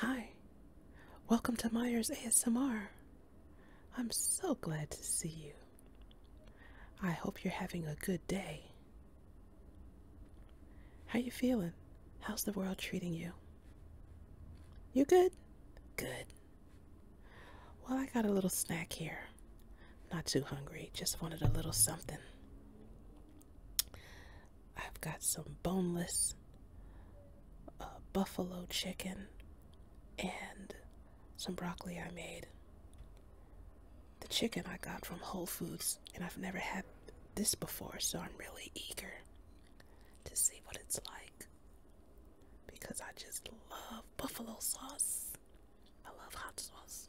Hi, welcome to Myers ASMR. I'm so glad to see you. I hope you're having a good day. How you feeling? How's the world treating you? You good? Good. Well, I got a little snack here. Not too hungry, just wanted a little something. I've got some boneless uh, buffalo chicken and some broccoli I made. The chicken I got from Whole Foods, and I've never had this before, so I'm really eager to see what it's like because I just love buffalo sauce. I love hot sauce.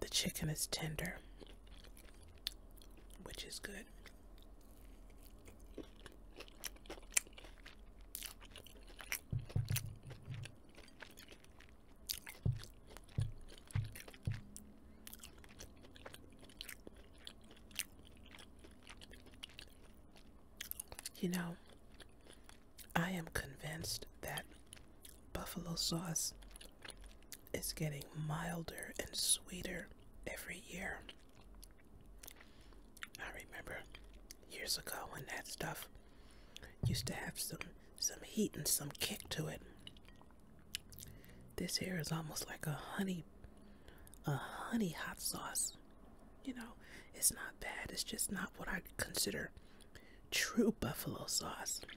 The chicken is tender, which is good. You know, I am convinced that buffalo sauce is getting milder and sweeter every year. I remember years ago when that stuff used to have some some heat and some kick to it. This here is almost like a honey a honey hot sauce. You know, it's not bad. It's just not what I consider true buffalo sauce.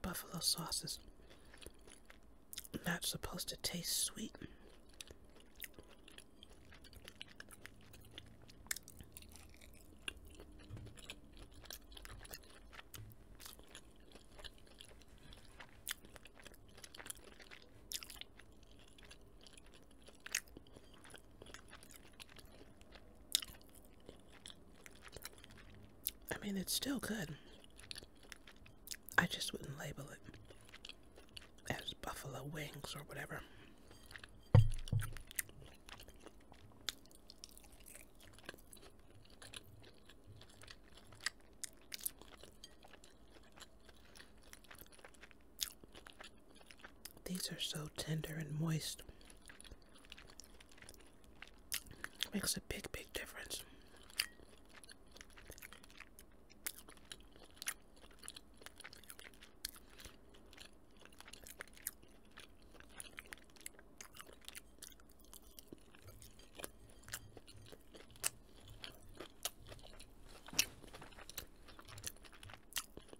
Buffalo sauce is not supposed to taste sweet. I mean, it's still good. I just wouldn't label it as buffalo wings or whatever. These are so tender and moist. Makes a big, big difference.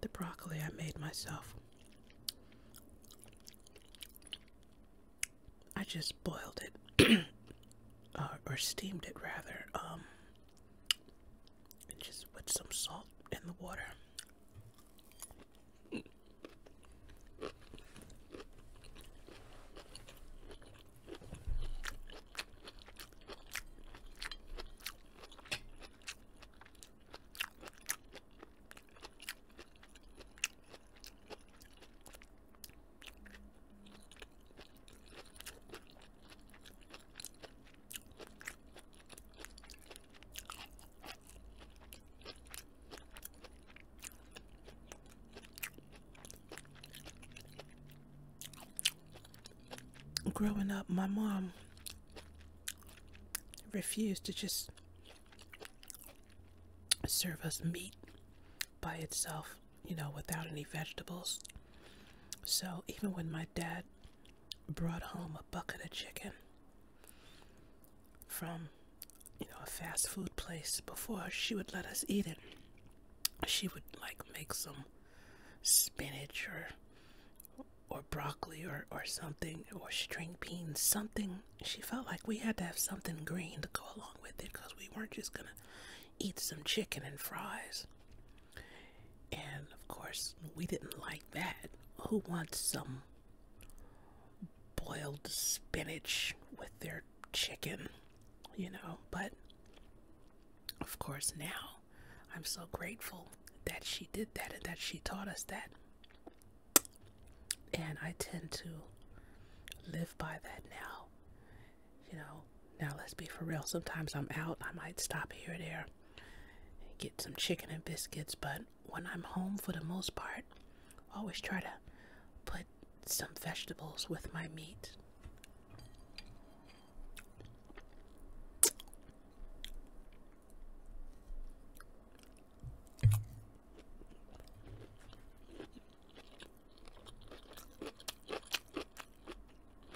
The broccoli I made myself. I just boiled it, uh, or steamed it rather, um, and just put some salt in the water. Growing up, my mom refused to just serve us meat by itself, you know, without any vegetables. So even when my dad brought home a bucket of chicken from you know a fast food place before she would let us eat it she would like make some spinach or or broccoli or, or something or string beans something she felt like we had to have something green to go along with it because we weren't just gonna eat some chicken and fries and of course, we didn't like that. Who wants some boiled spinach with their chicken? You know, but of course, now I'm so grateful that she did that and that she taught us that. And I tend to live by that now. You know, now, let's be for real. Sometimes I'm out, I might stop here there get some chicken and biscuits, but when I'm home, for the most part, always try to put some vegetables with my meat.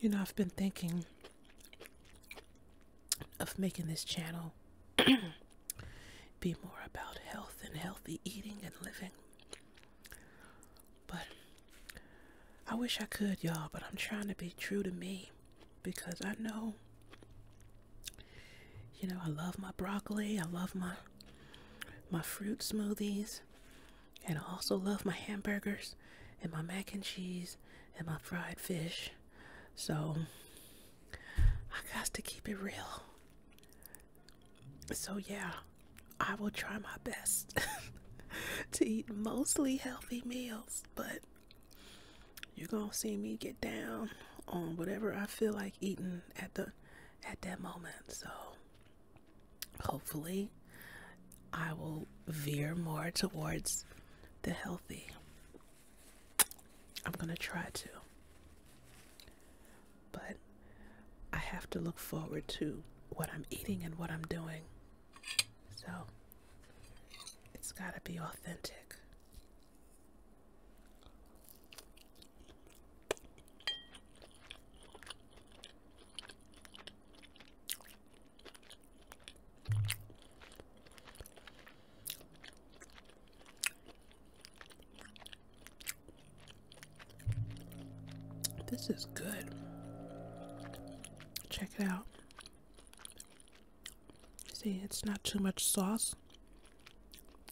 You know, I've been thinking of making this channel be more about health and healthy eating and living. But I wish I could, y'all, but I'm trying to be true to me because I know you know, I love my broccoli, I love my my fruit smoothies, and I also love my hamburgers and my mac and cheese and my fried fish. So I got to keep it real. So yeah, I will try my best to eat mostly healthy meals, but you're gonna see me get down on whatever I feel like eating at the at that moment. So hopefully I will veer more towards the healthy. I'm gonna try to. But I have to look forward to what I'm eating and what I'm doing. So it's gotta be authentic. This is good. Check it out. See, it's not too much sauce.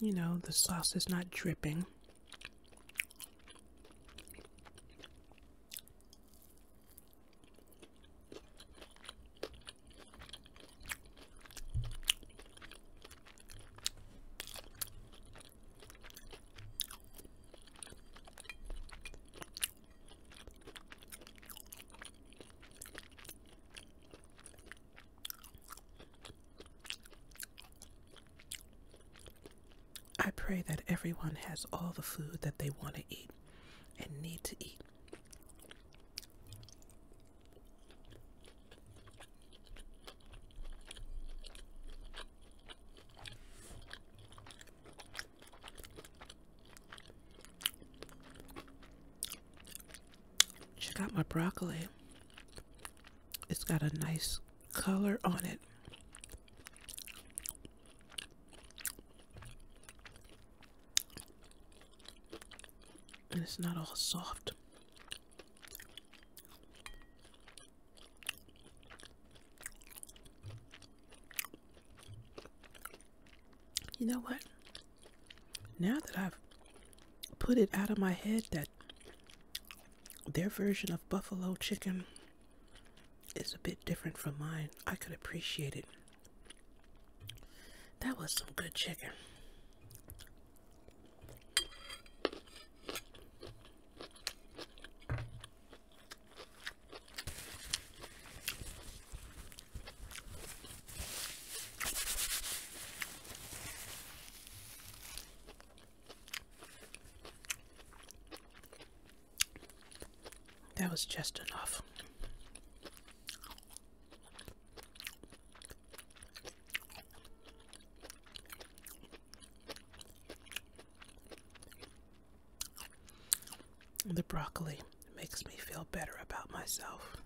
You know, the sauce is not dripping. I pray that everyone has all the food that they want to eat and need to eat. Check out my broccoli. It's got a nice color on it. And it's not all soft you know what? Now that I've put it out of my head that their version of buffalo chicken is a bit different from mine, I could appreciate it. That was some good chicken. That was just enough. The broccoli it makes me feel better about myself.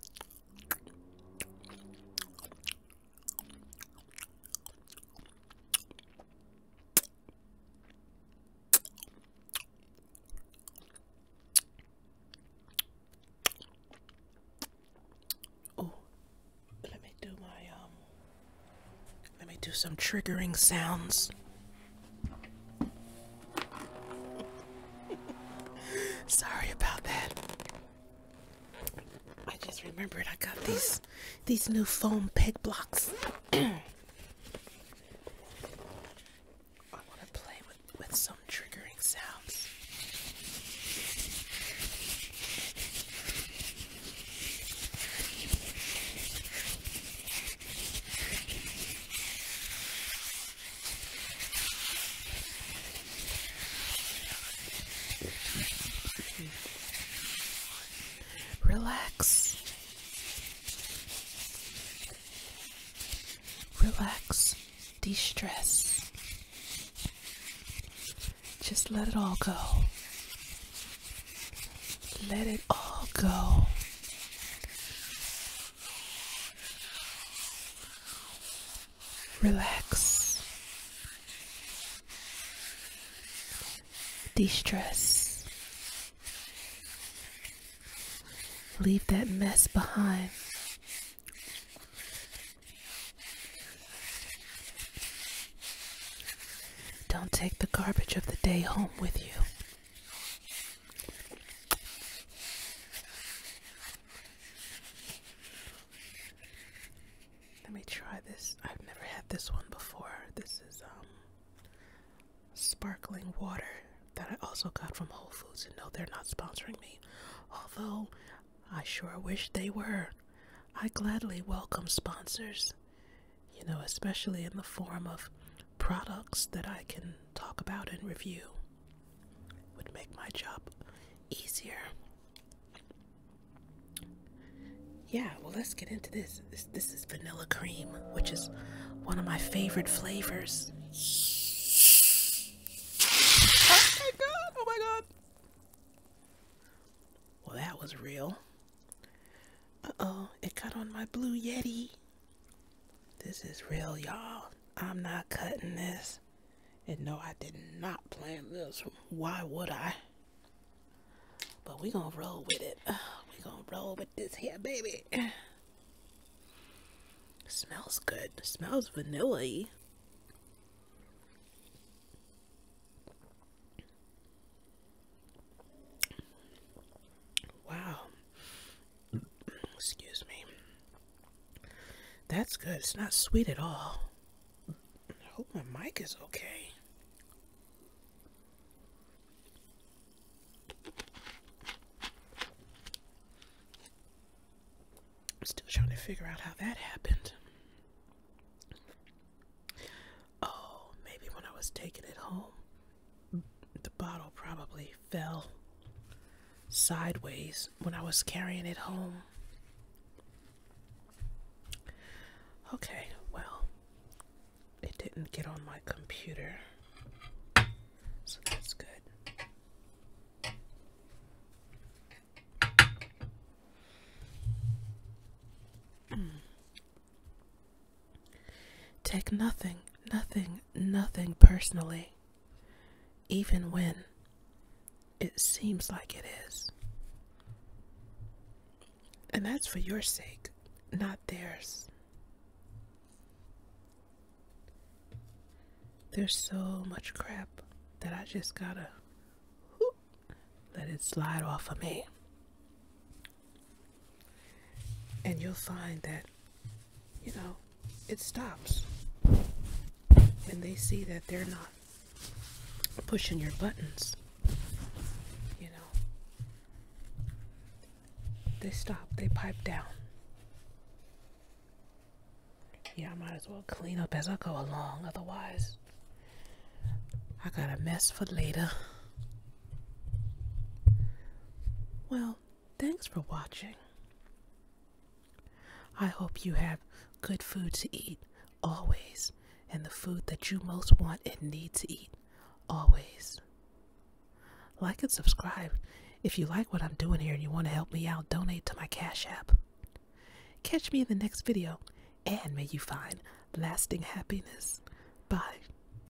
Oh, let me do my um let me do some triggering sounds. Sorry about that. I just remembered I got these these new foam peg blocks. I want to play with, with some triggering sounds. Relax. Relax. De stress. Just let it all go. Let it all go. Relax, de stress, leave that mess behind. Don't take the garbage of the day home with you. Let me try this. I've never had this one before. This is um sparkling water that I also got from Whole Foods and no they're not sponsoring me. Although I sure wish they were. I gladly welcome sponsors. You know, especially in the form of products that I can talk about and review would make my job easier. Yeah, well, let's get into this. This, is vanilla cream, which is one of my favorite flavors. Oh my god! Oh my god! Well, that was real. Uh oh, it got on my blue Yeti. This is real, y'all. I'm not cutting this. And no, I did not plan this. Why would I? But we gonna roll with it. We gonna roll with this here, baby. Smells good. Smells vanilla Wow. Excuse me. That's good. It's not sweet at all. I hope my mic is okay. I'm still trying to figure out how that happened. Oh, maybe when I was taking it home, the bottle probably fell sideways when I was carrying it home. Okay, well, it didn't get on my computer, so that's good. Hmm. Take nothing, nothing, nothing personally, even when it seems like it is. And that's for your sake, not theirs. There's so much crap that I just gotta let it slide off of me and you'll find that you know it stops when they see that they're not pushing your buttons you know they stop they pipe down yeah i might as well clean up as i go along otherwise i got a mess for later well, thanks for watching. I hope you have good food to eat always and the food that you most want and need to eat always. Like and subscribe if you like what I'm doing here and you want to help me out, donate to my Cash App. Catch me in the next video and may you find lasting happiness. Bye.